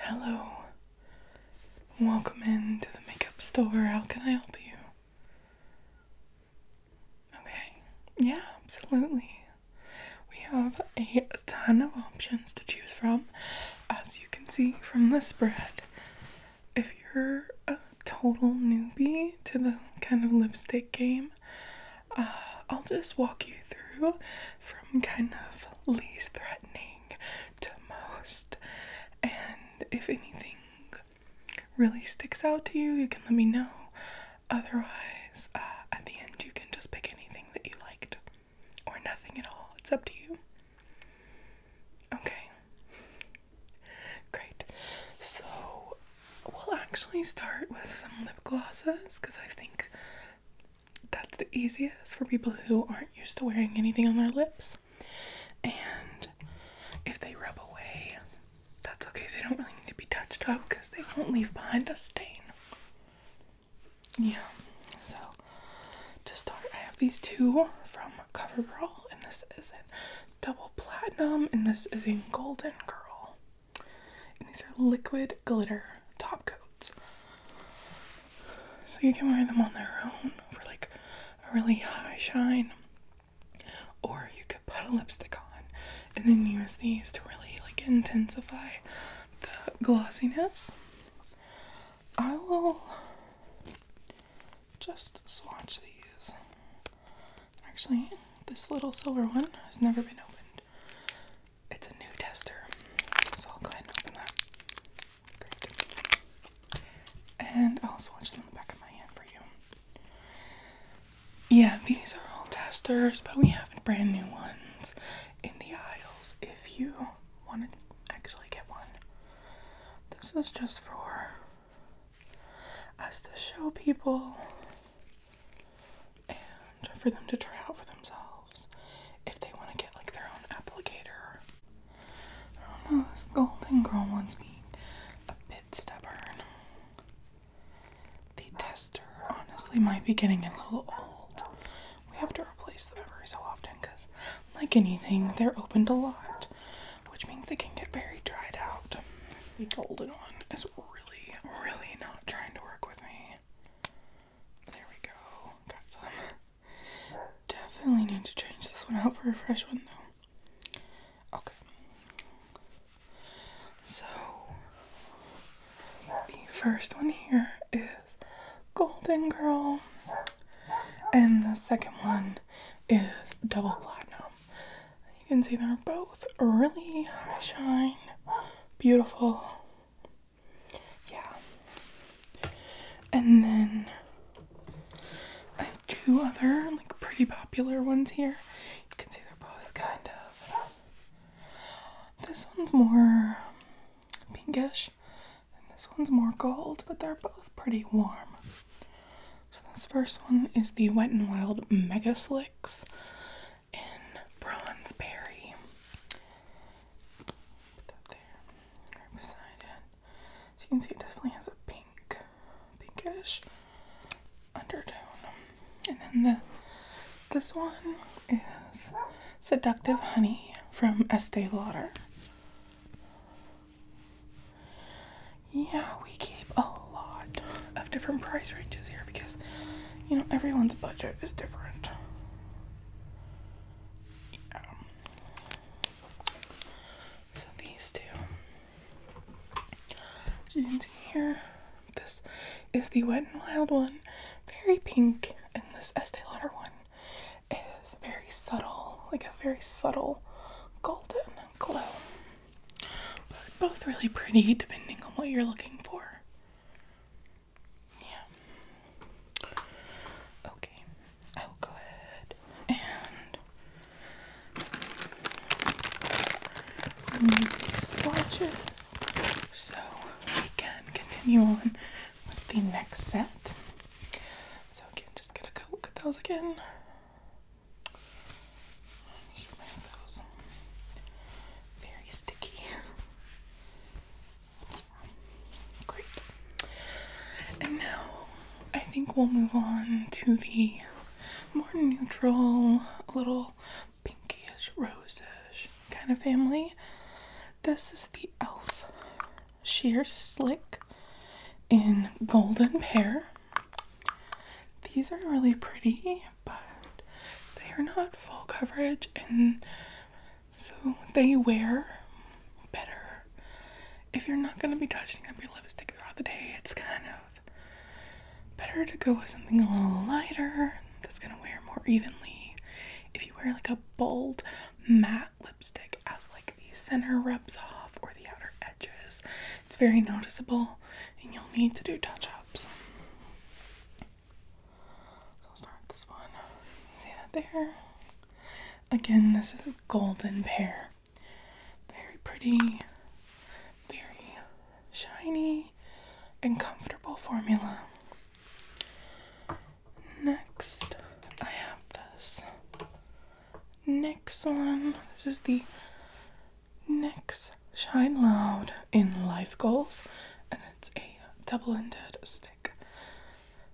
Hello. Welcome in to the makeup store. How can I help you? Okay. Yeah, absolutely. We have a ton of options to choose from, as you can see from the spread. If you're a total newbie to the kind of lipstick game, uh, I'll just walk you through from kind of least threatening to most. And if anything really sticks out to you, you can let me know. Otherwise, uh, at the end, you can just pick anything that you liked or nothing at all. It's up to you. Okay. Great. So, we'll actually start with some lip glosses because I think that's the easiest for people who aren't used to wearing anything on their lips. And if they rub away, that's okay. They don't really need to be touched up because they won't leave behind a stain. Yeah, so to start, I have these two from CoverGirl, and this is in double platinum, and this is in golden girl. And these are liquid glitter top coats. So you can wear them on their own for like a really high shine. Or you could put a lipstick on and then use these to really like intensify the glossiness. I will just swatch these. Actually, this little silver one has never been opened. It's a new tester, so I'll go ahead and open that. And I'll swatch them in the back of my hand for you. Yeah, these are all testers, but we have brand new ones in the aisles if you want to actually get one. This is just for us to show people for them to try out for themselves if they want to get like their own applicator. I don't know, this golden girl one's being a bit stubborn. The tester honestly might be getting a little old. We have to replace them every so often because, like anything, they're opened a lot, which means they can get very dried out. The golden one is really, really not trying to work with me. There we go. Got some. Definitely need to change this one out for a fresh one though. Okay. So the first one here is Golden Girl. And the second one is Double Platinum. You can see they're both really high shine, beautiful, yeah. And then I have two other like pretty popular ones here. You can see they're both kind of this one's more pinkish and this one's more gold, but they're both pretty warm. So this first one is the Wet n Wild Mega Slicks in Bronzeberry. right beside it. you can see it definitely has a pink, pinkish undertone. And then the this one is Seductive Honey from Estee Lauder. Yeah, we keep a lot of different price ranges here because you know, everyone's budget is different. Yeah. So these two, as you can see here, this is the Wet n Wild one, very pink, and this Estee Lauder one is very subtle, like a very subtle golden glow. But both really pretty, depending on what you're looking for. Yeah. Okay. I will go ahead and remove these swatches so we can continue on with the next set. So again, just gonna go look at those again. Those. Very sticky. Great. And now I think we'll move on to the more neutral, little pinkish, rosish kind of family. This is the e.l.f. Sheer Slick in Golden Pear. These are really pretty, but they are not full coverage, and so they wear better. If you're not going to be touching up your lipstick throughout the day, it's kind of better to go with something a little lighter that's going to wear more evenly. If you wear like a bold matte lipstick as like the center rubs off or the outer edges, it's very noticeable and you'll need to do touch ups. So start this one. See that there? Again, this is a golden pear. Very pretty, very shiny, and comfortable formula. Next, I have this. Next one. This is the Next, Shine Loud in Life Goals, and it's a double ended stick.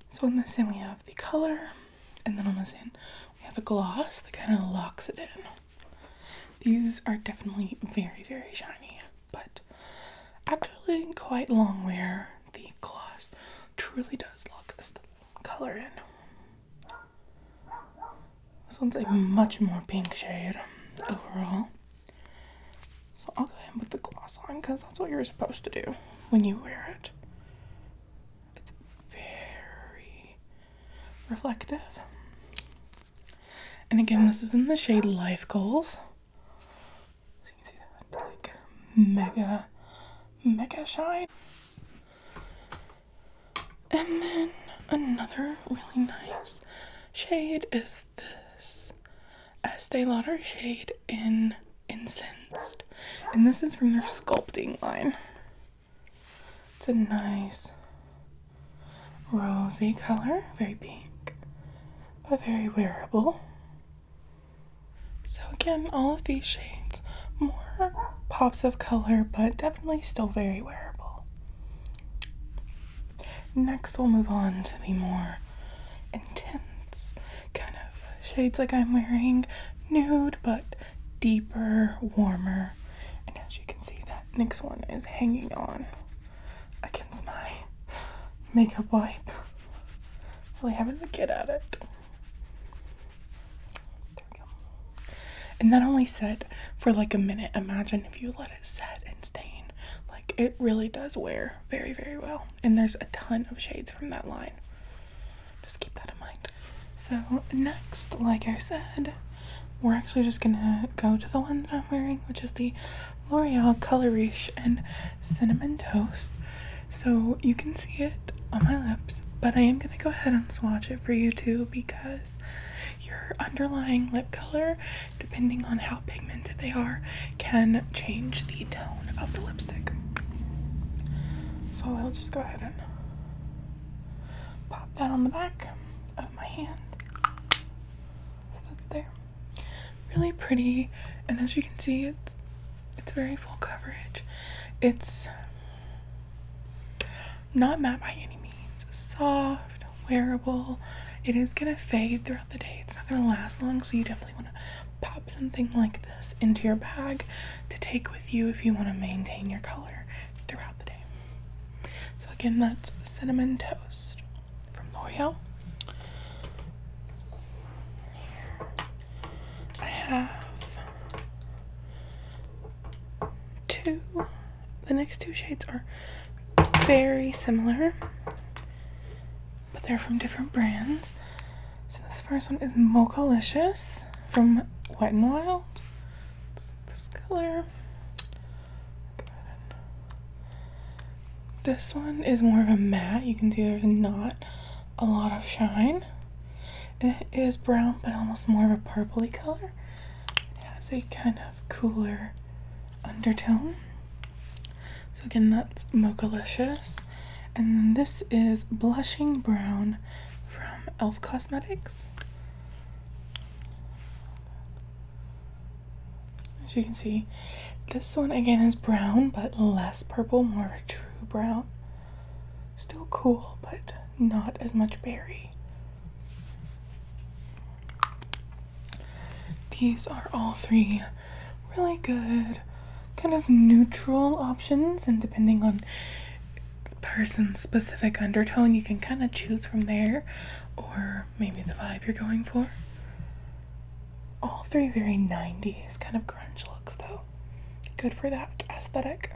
So, on this end, we have the color, and then on this end, we have a gloss that kind of locks it in. These are definitely very, very shiny, but actually quite long wear. The gloss truly does lock this color in. This one's a much more pink shade overall. So I'll go ahead and put the gloss on because that's what you're supposed to do when you wear it. It's very reflective. And again, this is in the shade Life Goals. you can see that mega, mega shine. And then another really nice shade is this Estee Lauder shade in Incensed. And this is from their sculpting line. It's a nice rosy color, very pink, but very wearable. So again, all of these shades, more pops of color, but definitely still very wearable. Next, we'll move on to the more intense kind of shades like I'm wearing nude, but deeper, warmer. And as you can see, that next one is hanging on against my makeup wipe. Really having to get at it. And that only set for like a minute. Imagine if you let it set and stain. Like it really does wear very, very well. And there's a ton of shades from that line. Just keep that in mind. So, next, like I said, we're actually just gonna go to the one that I'm wearing, which is the L'Oreal Color Riche and Cinnamon Toast. So, you can see it on my lips, but I am gonna go ahead and swatch it for you too because your underlying lip color, depending on how pigmented they are, can change the tone of the lipstick. So I'll just go ahead and pop that on the back of my hand. So that's there. Really pretty, and as you can see, it's it's very full coverage. It's not matte by any means. Soft, wearable. It is going to fade throughout the day. It's not going to last long, so you definitely want to pop something like this into your bag to take with you if you want to maintain your color throughout the day. So again, that's Cinnamon Toast from L'Oreal. I have two the next two shades are very similar, but they're from different brands. So this first one is Mocha Mochalicious from Wet n Wild. this color. This one is more of a matte. You can see there's not a lot of shine. it is brown, but almost more of a purply color. It has a kind of cooler undertone. So again, that's Mochalicious. And this is Blushing Brown from e.l.f. Cosmetics. As you can see, this one again is brown, but less purple, more of a true brown. Still cool, but not as much berry. These are all three really good, kind of neutral options, and depending on person's specific undertone, you can kind of choose from there or maybe the vibe you're going for. All three very 90s kind of grunge looks, though. Good for that aesthetic.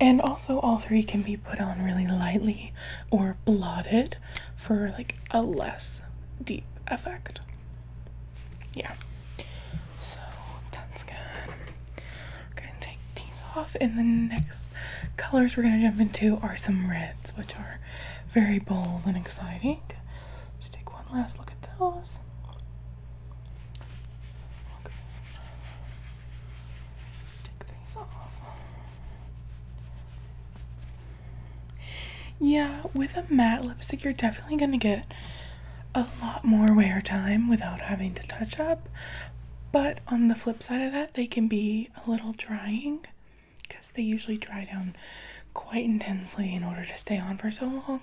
And also, all three can be put on really lightly or blotted for like a less deep effect. Yeah. So that's good. We're gonna take these off, and the next colors we're gonna jump into are some reds, which are very bold and exciting. Just take one last look at those. Yeah, with a matte lipstick, you're definitely going to get a lot more wear time without having to touch up. But on the flip side of that, they can be a little drying because they usually dry down quite intensely in order to stay on for so long.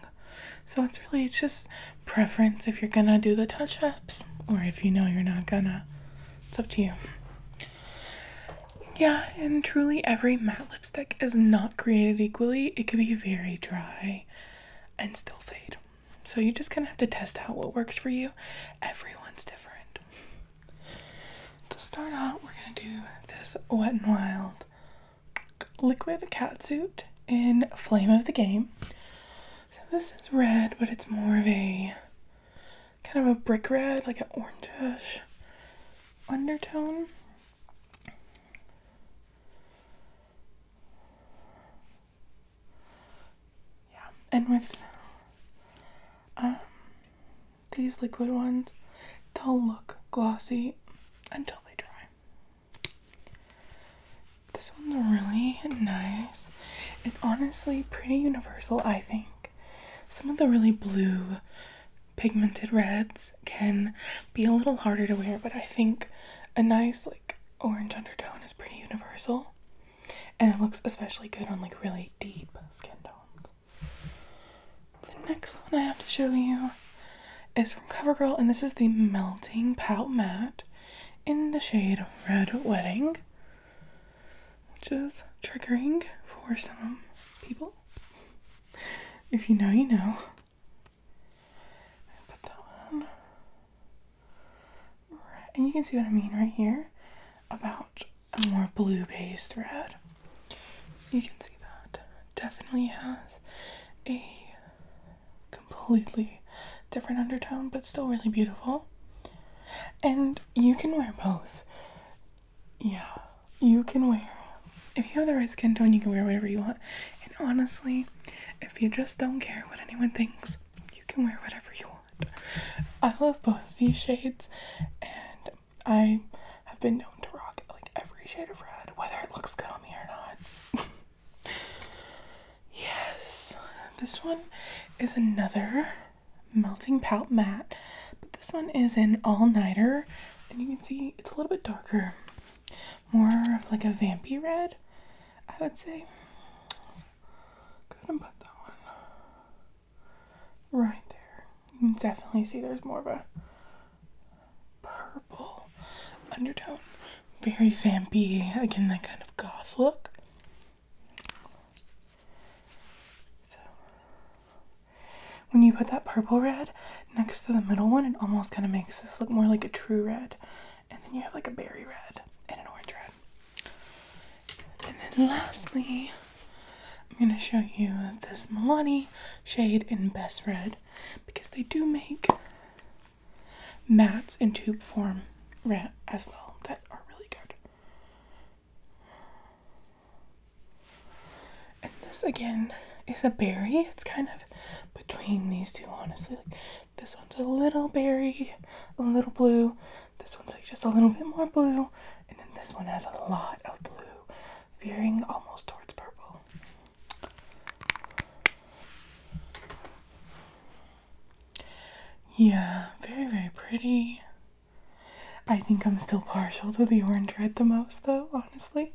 So it's really it's just preference if you're gonna do the touch ups or if you know you're not gonna. It's up to you. Yeah, and truly every matte lipstick is not created equally. It can be very dry and still fade. So you just kind of have to test out what works for you. Everyone's different. To start out, we're gonna do this Wet and Wild liquid cat suit in Flame of the Game. So this is red, but it's more of a kind of a brick red, like an orangish undertone. Yeah, and with um, these liquid ones, they'll look glossy until they dry. This one's really nice and honestly pretty universal, I think. Some of the really blue pigmented reds can be a little harder to wear, but I think a nice, like, orange undertone is pretty universal and it looks especially good on like really deep skin tones. The next one I have to show you is from CoverGirl, and this is the Melting Pout Matte in the shade Red Wedding, which is triggering for some people. If you know, you know. Put that on. And you can see what I mean right here about a more blue based red. You can see that. Definitely has a completely different undertone, but still really beautiful. And you can wear both. Yeah, you can wear. If you have the right skin tone, you can wear whatever you want. And honestly, if you just don't care what anyone thinks, you can wear whatever you want. I love both these shades, and I have been known to rock like every shade of red, whether it looks good on me or not. Yes, this one is another melting pout mat, but this one is an all nighter, and you can see it's a little bit darker, more of like a vampy red, I would say. So and put that one right there. You can definitely see there's more of a purple undertone. Very vampy. Again, that kind of goth look. So, when you put that purple red next to the middle one, it almost kind of makes this look more like a true red. And then you have like a berry red and an orange red. And then lastly, I'm going to show you this Milani shade in Best Red because they do make Mats in tube form as well that are really good. And this again is a berry. It's kind of between these two, honestly. this one's a little berry, a little blue. This one's like just a little bit more blue. And then this one has a lot of blue, veering almost towards purple. Yeah, very, very pretty. I think I'm still partial to the orange red the most, though, honestly.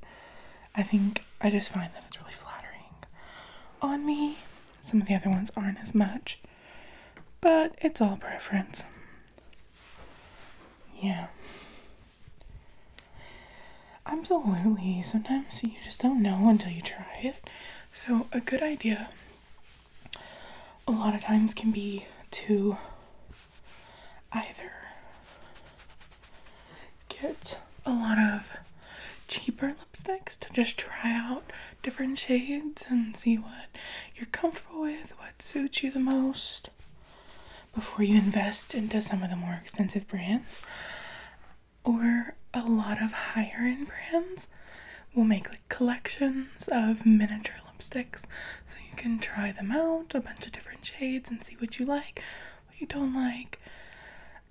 I think I just find that it's really flattering on me. Some of the other ones aren't as much, but it's all preference. Yeah. Absolutely. Sometimes you just don't know until you try it. So, a good idea a lot of times can be to either get a lot of cheaper lipsticks to just try out different shades and see what you're comfortable with, what suits you the most before you invest into some of the more expensive brands or a lot of higher end brands will make like collections of miniature lipsticks so you can try them out a bunch of different shades and see what you like what you don't like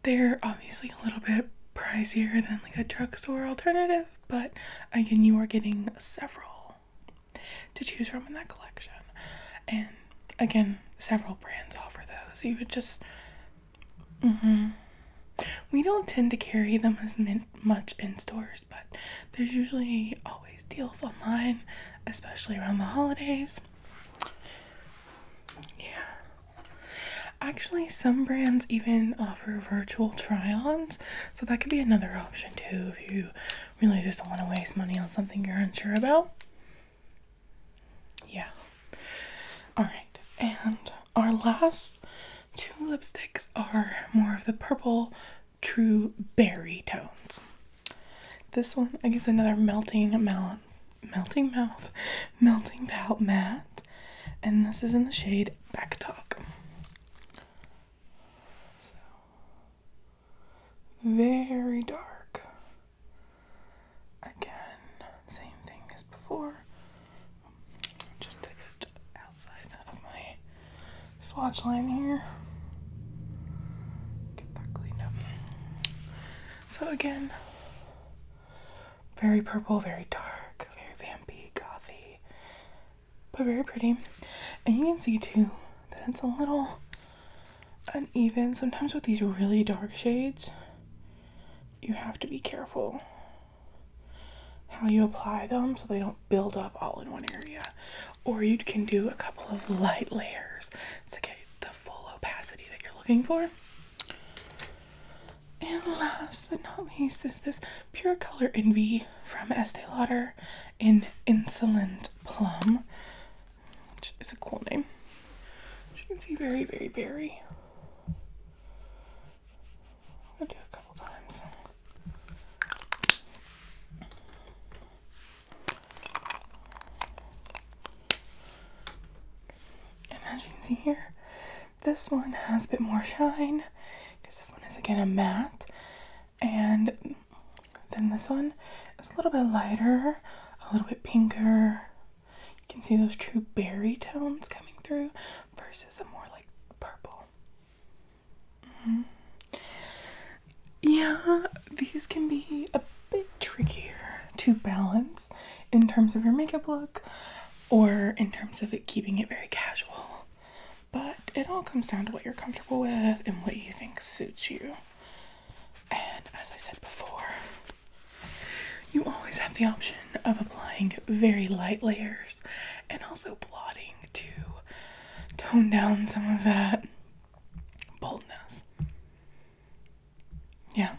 they're obviously a little bit pricier than like a drugstore alternative but again you are getting several to choose from in that collection and again, several brands offer those. You would just. Mm-hmm. We don't tend to carry them as much in stores, but there's usually always deals online, especially around the holidays. Yeah. Actually, some brands even offer virtual try ons, so that could be another option too if you really just don't want to waste money on something you're unsure about. Yeah. Alright, and our last two lipsticks are more of the purple true berry tones. This one I guess another melting mouth, melting mouth melting palette matte and this is in the shade back talk. So very dark. Again, same thing as before. Just take it outside of my swatch line here. Get that cleaned up. So again, very purple, very dark, very vampy, coffee, but very pretty. And you can see too that it's a little and even Sometimes with these really dark shades, you have to be careful how you apply them so they don't build up all in one area. Or you can do a couple of light layers to get the full opacity that you're looking for. And last but not least is this Pure Color Envy from Estee Lauder in Insolent Plum which is a cool name. As you can see, very, very berry. I'll do a couple times. And as you can see here, this one has a bit more shine because this one is again a matte and then this one is a little bit lighter, a little bit pinker. You can see those true berry tones coming through versus a more like purple. Mm-hmm. Yeah, these can be a bit trickier to balance in terms of your makeup look or in terms of it keeping it very casual. But it all comes down to what you're comfortable with and what you think suits you. And as I said before, you always have the option of applying very light layers and also blotting to tone down some of that boldness. Yeah.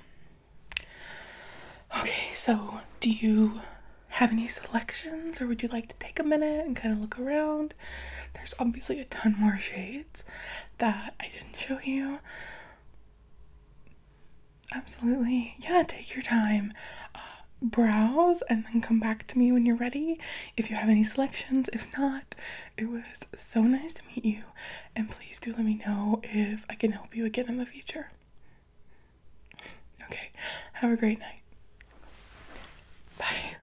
Okay, so do you have any selections or would you like to take a minute and kind of look around? There's obviously a ton more shades that I didn't show you. Absolutely. Yeah, take your time. Uh, browse and then come back to me when you're ready if you have any selections. If not, it was so nice to meet you. And please do let me know if I can help you again in the future. Okay, have a great night. Bye.